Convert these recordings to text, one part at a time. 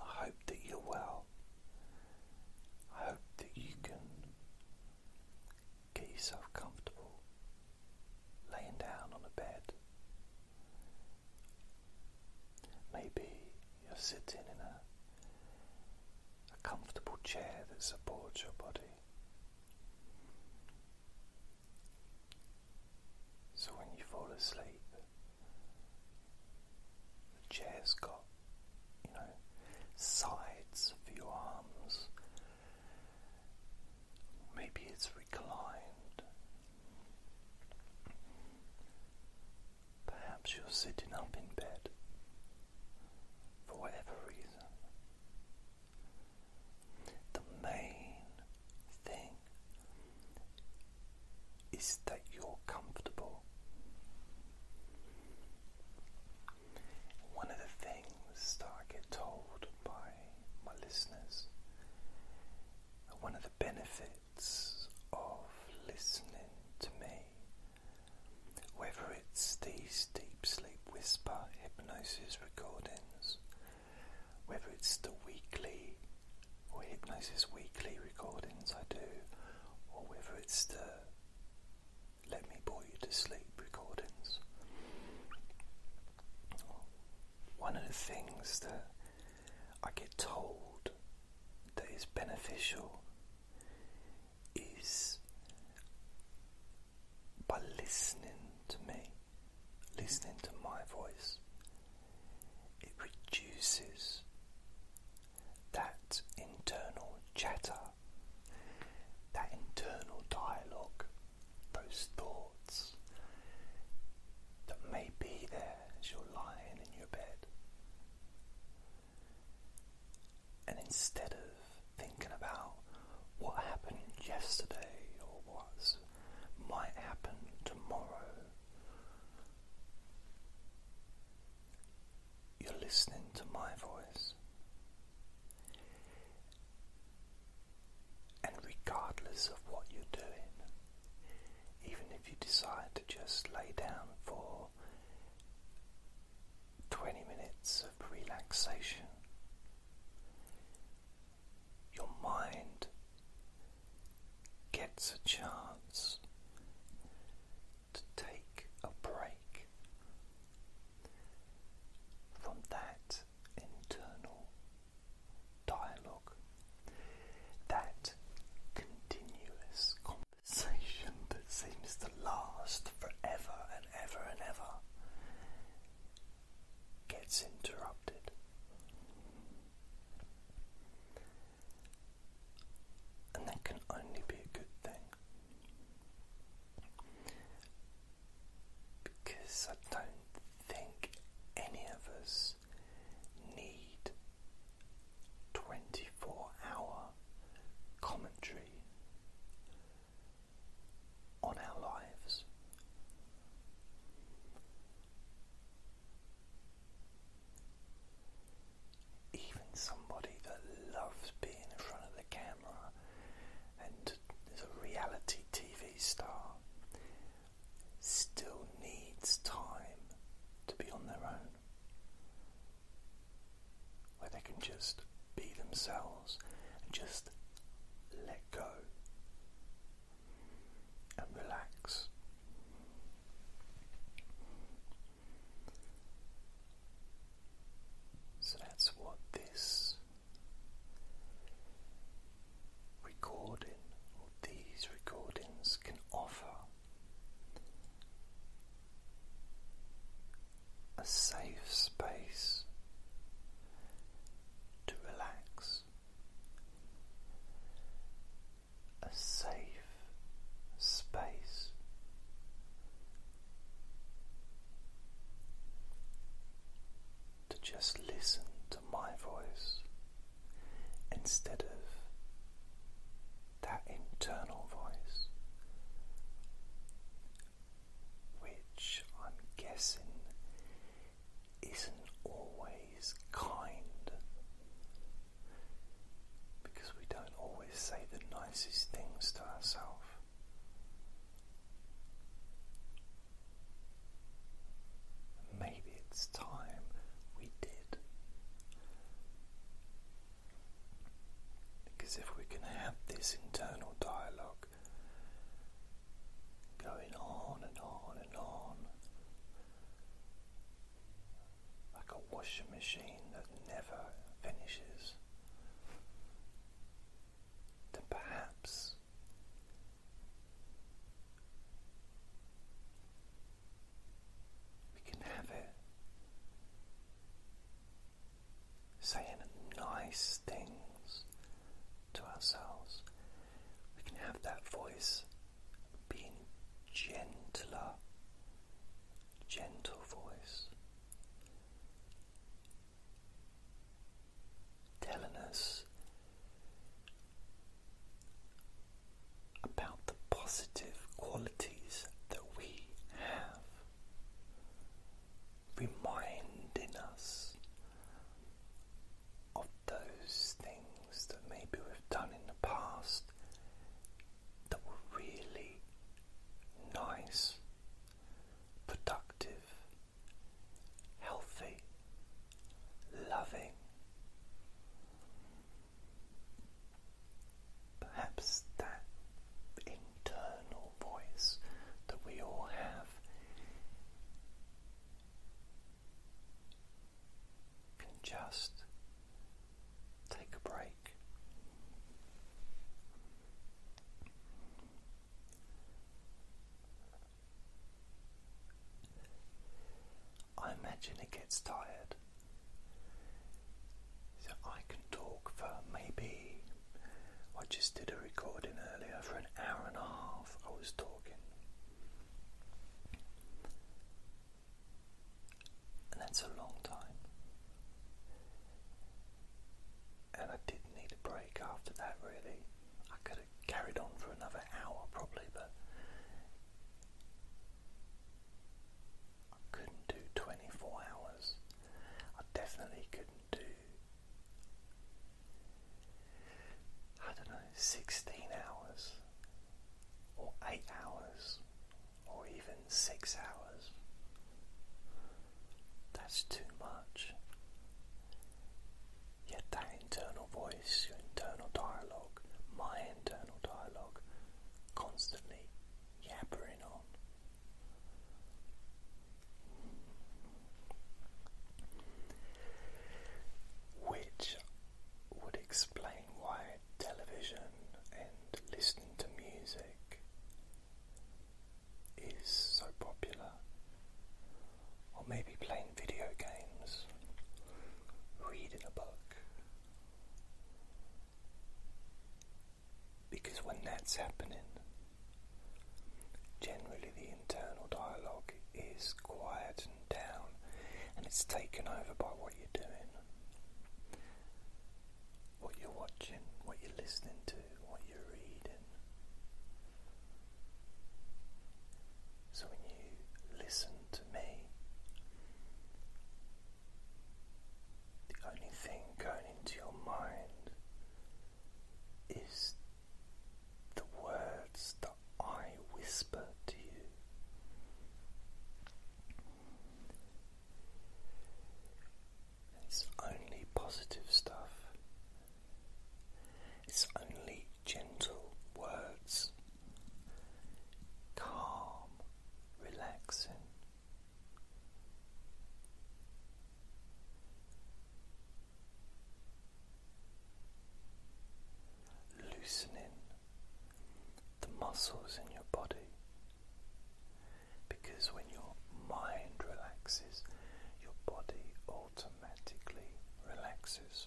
I hope that you're well. I hope that you can get yourself comfortable laying down on a bed. Maybe you're sitting in a a comfortable chair that supports your body. So when you fall asleep, the chair's got, you know, sides for your arms. Maybe it's reclined. Perhaps you're sitting up in bed for whatever reason. The main thing is that you're comfortable. One of the things that I get told by my listeners, one of the benefits of listening to me, whether it's these deep sleep whisper hypnosis recordings, whether it's the weekly or Hypnosis Weekly recordings I do, or whether it's the Let Me Bore You to Sleep recordings. One of the things that I get told that is beneficial is by listening to me, listening to my voice, it reduces that internal chatter, that internal dialogue, those thoughts that may be there as you're lying in your bed. And instead of thinking about what happened yesterday or what might happen tomorrow, you're listening to my voice, and regardless of what you're doing, even if you decide to just lay down for 20 minutes of relaxation, your mind gets a chance to take a break from that internal dialogue, that continuous conversation that seems to last forever and ever and ever gets interrupted. And that can only be a good thing. Because I don't think any of us need 24 hour commentary on our lives. Even somebody that loves being in front of the camera and is a reality TV star still needs time to be on their own. Where they can just be themselves and just let go and relax. So that's what this recording these recordings can offer a safe space to relax a safe space. To just listen to my voice instead of that internal voice, which I'm guessing isn't always kind because we don't always say the nicest things to ourselves. Maybe it's time we did. Because if we can have this internal dialogue, going on and on and on like a washing machine that never finishes, then perhaps we can have it saying nice things to ourselves. We can have that voice being gentler, gentle voice, telling us about the positive qualities that we have reminding us of those things that maybe we've done in the past that were really nice, productive, healthy, loving. Perhaps that internal voice that we all have can just take a break. I imagine it gets tired. So I can talk for maybe I just did a recording earlier for an hour and a half. I was talking. And that's a long time. And I did need a break after that, really. I could have carried on for another hour probably, but I couldn't do 24 hours. I definitely couldn't do. I don't know, 16 hours, or 8 hours, or even 6 hours. That's too much. Yet that internal voice, your internal dialogue, my internal dialogue, constantly yabbering on which would explain why television and listening to music is so popular, or maybe playing video games, reading a book. Because when that's happening, generally the internal dialogue is quiet and down and it's taken over by what you're doing, what you're watching, what you're listening to, what you're reading. So when you listen to me, the only thing going into your mind is the words that I whisper to you. It's only positive stuff. It's only gentle words, calm, relaxing loosening the muscles in your body because when your mind relaxes, your body automatically relaxes.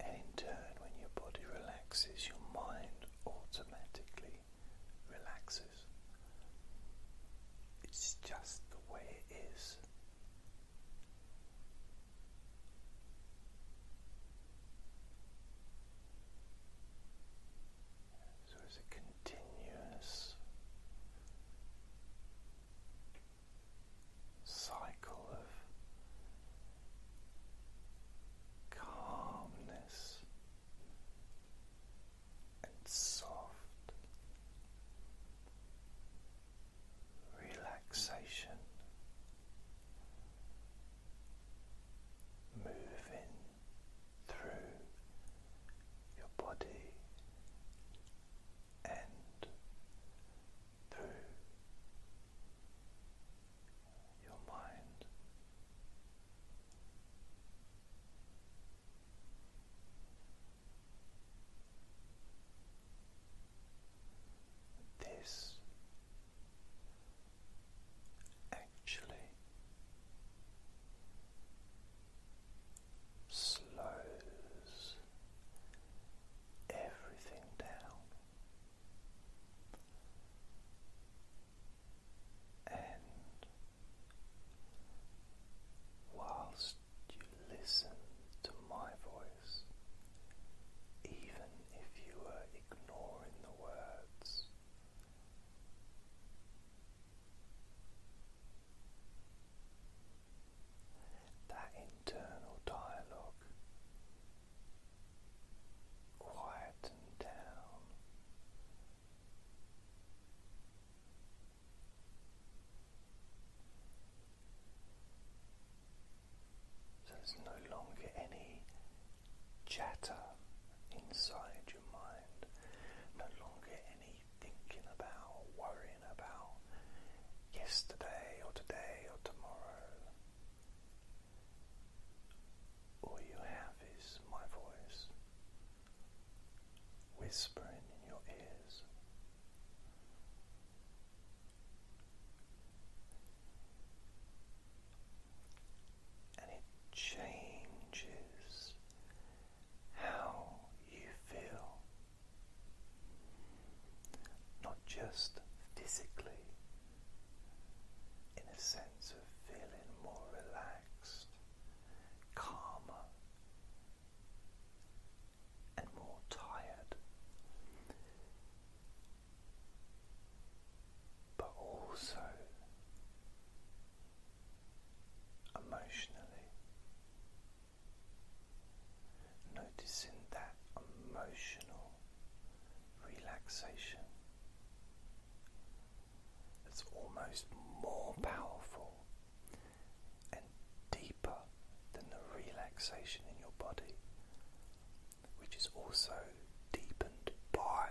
And in turn, when your body relaxes, your mind automatically relaxes. It's just the way it is. So it's a continuous cycle of calmness and soft relaxation moving through your body and through your mind. This actually slows everything down and whilst you listen to my voice, even if you were ignoring the words, that internal dialogue Quiet and down. So there's no longer any chatter inside your mind, no longer any thinking about, worrying about yesterday or today or tomorrow all you have is my voice whispering in your ears. And it changes how you feel, not just physically, in a sense of feeling more relaxed, calmer, and more tired, but also emotionally. Noticing that emotional relaxation that's almost more powerful and deeper than the relaxation in your body, which is also deepened by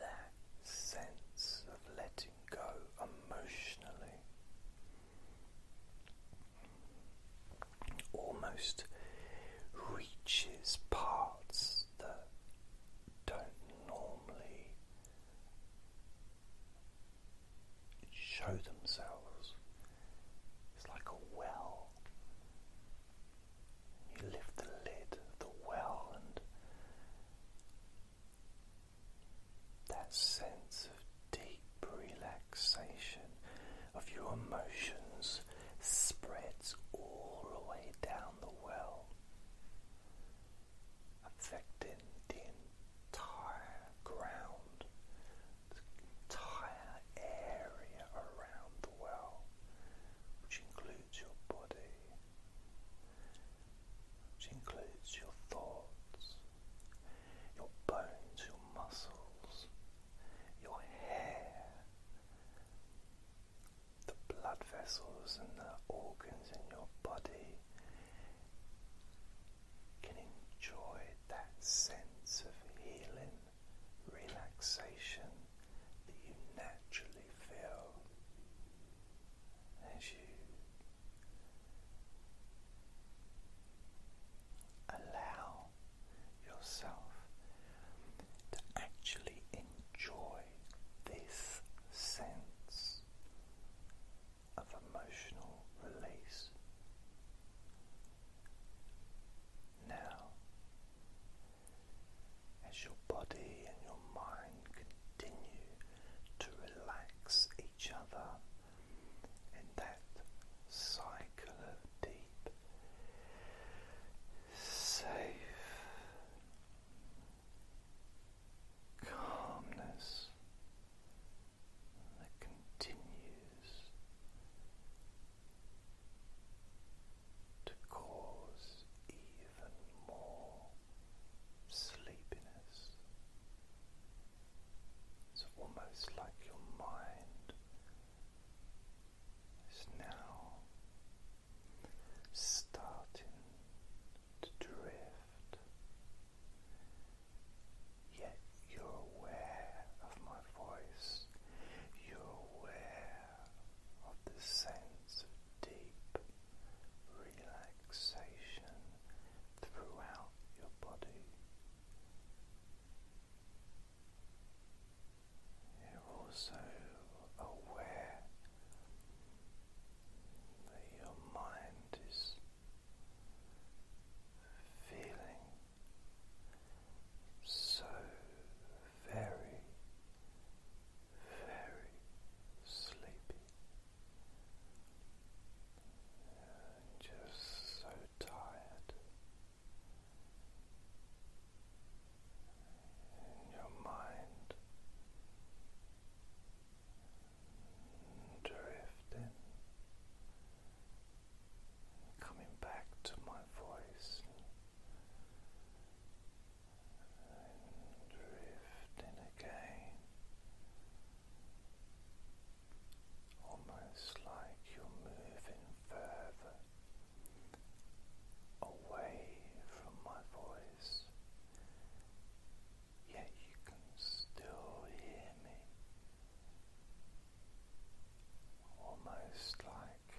that sense of letting go emotionally almost reaches parts that don't normally show themselves. It's like a well. You lift the lid of the well, and that sense of deep relaxation relaxation of your emotions spreads all the way down the well, affecting the entire ground, the entire area around the well, which includes your body, which includes your thoughts, your bones, your muscles, your hair, the blood vessels and the organs in your body can enjoy that sense of healing, relaxation that you naturally feel as you allow yourself to actually enjoy this sense of emotional release. Now, as your body and your mind continue to relax each other in that cycle of deep, safe calmness that continues to cause even more sleepiness. It's almost like your mind is now starting to drift, yet you're aware of my voice, you're aware of the sense of deep relaxation throughout your body. You're also aware that your mind is feeling so very, very sleepy just so tired, and your mind drifting, coming back to my voice. drifting again, almost like you're moving further away from my voice, yet you can still hear me. Almost like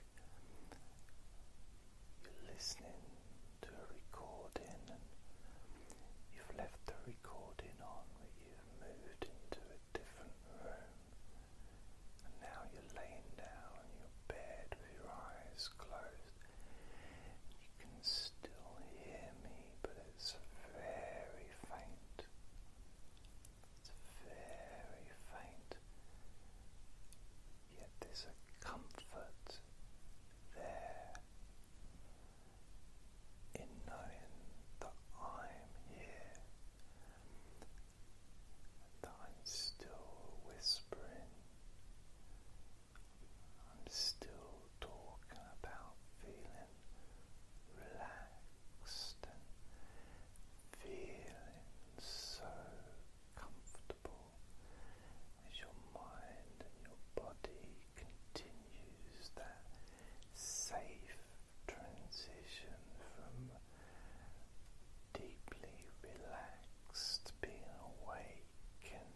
you're listening to a recording and you've left the recording on, but you've moved into a a different room. And now you're laying down on your bed with your eyes closed. You can still hear me, but it's very faint. It's very faint. Yet there's a comfort there in knowing that I'm here, that I'm still whispering, I'm still talking about feeling relaxed and feeling so comfortable as your mind and your body continues that safe transition from deeply relaxed, being awake and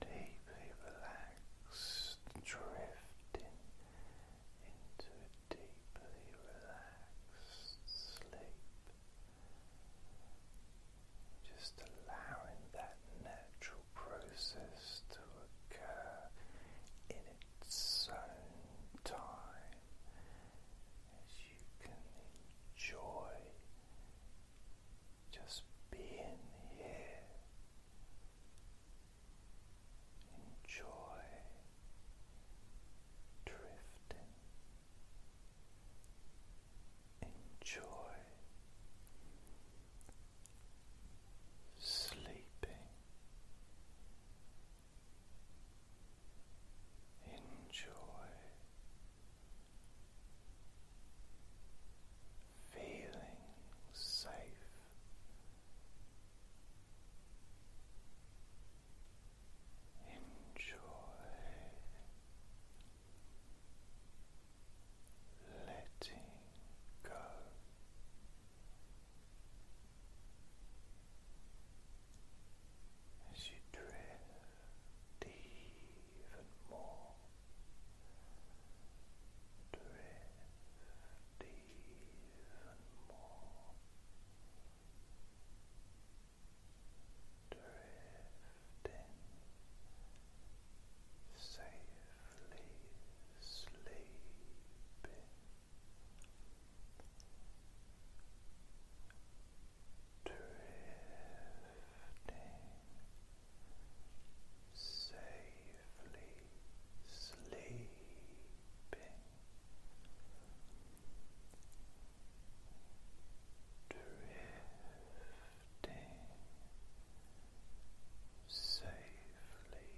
deeply relaxed, drifting into a deeply relaxed sleep. Just allowing that natural process to occur in its own time as you can enjoy just being here. Enjoy drifting. Enjoy sleeping. Enjoy feeling safe. Enjoy letting go. As you drift even more, drift even more, drift safely sleeping. Drifting safely sleeping drifting safely sleeping.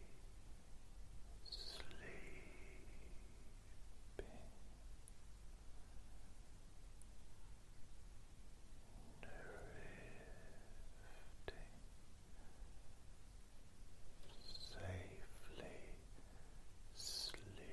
safely sleeping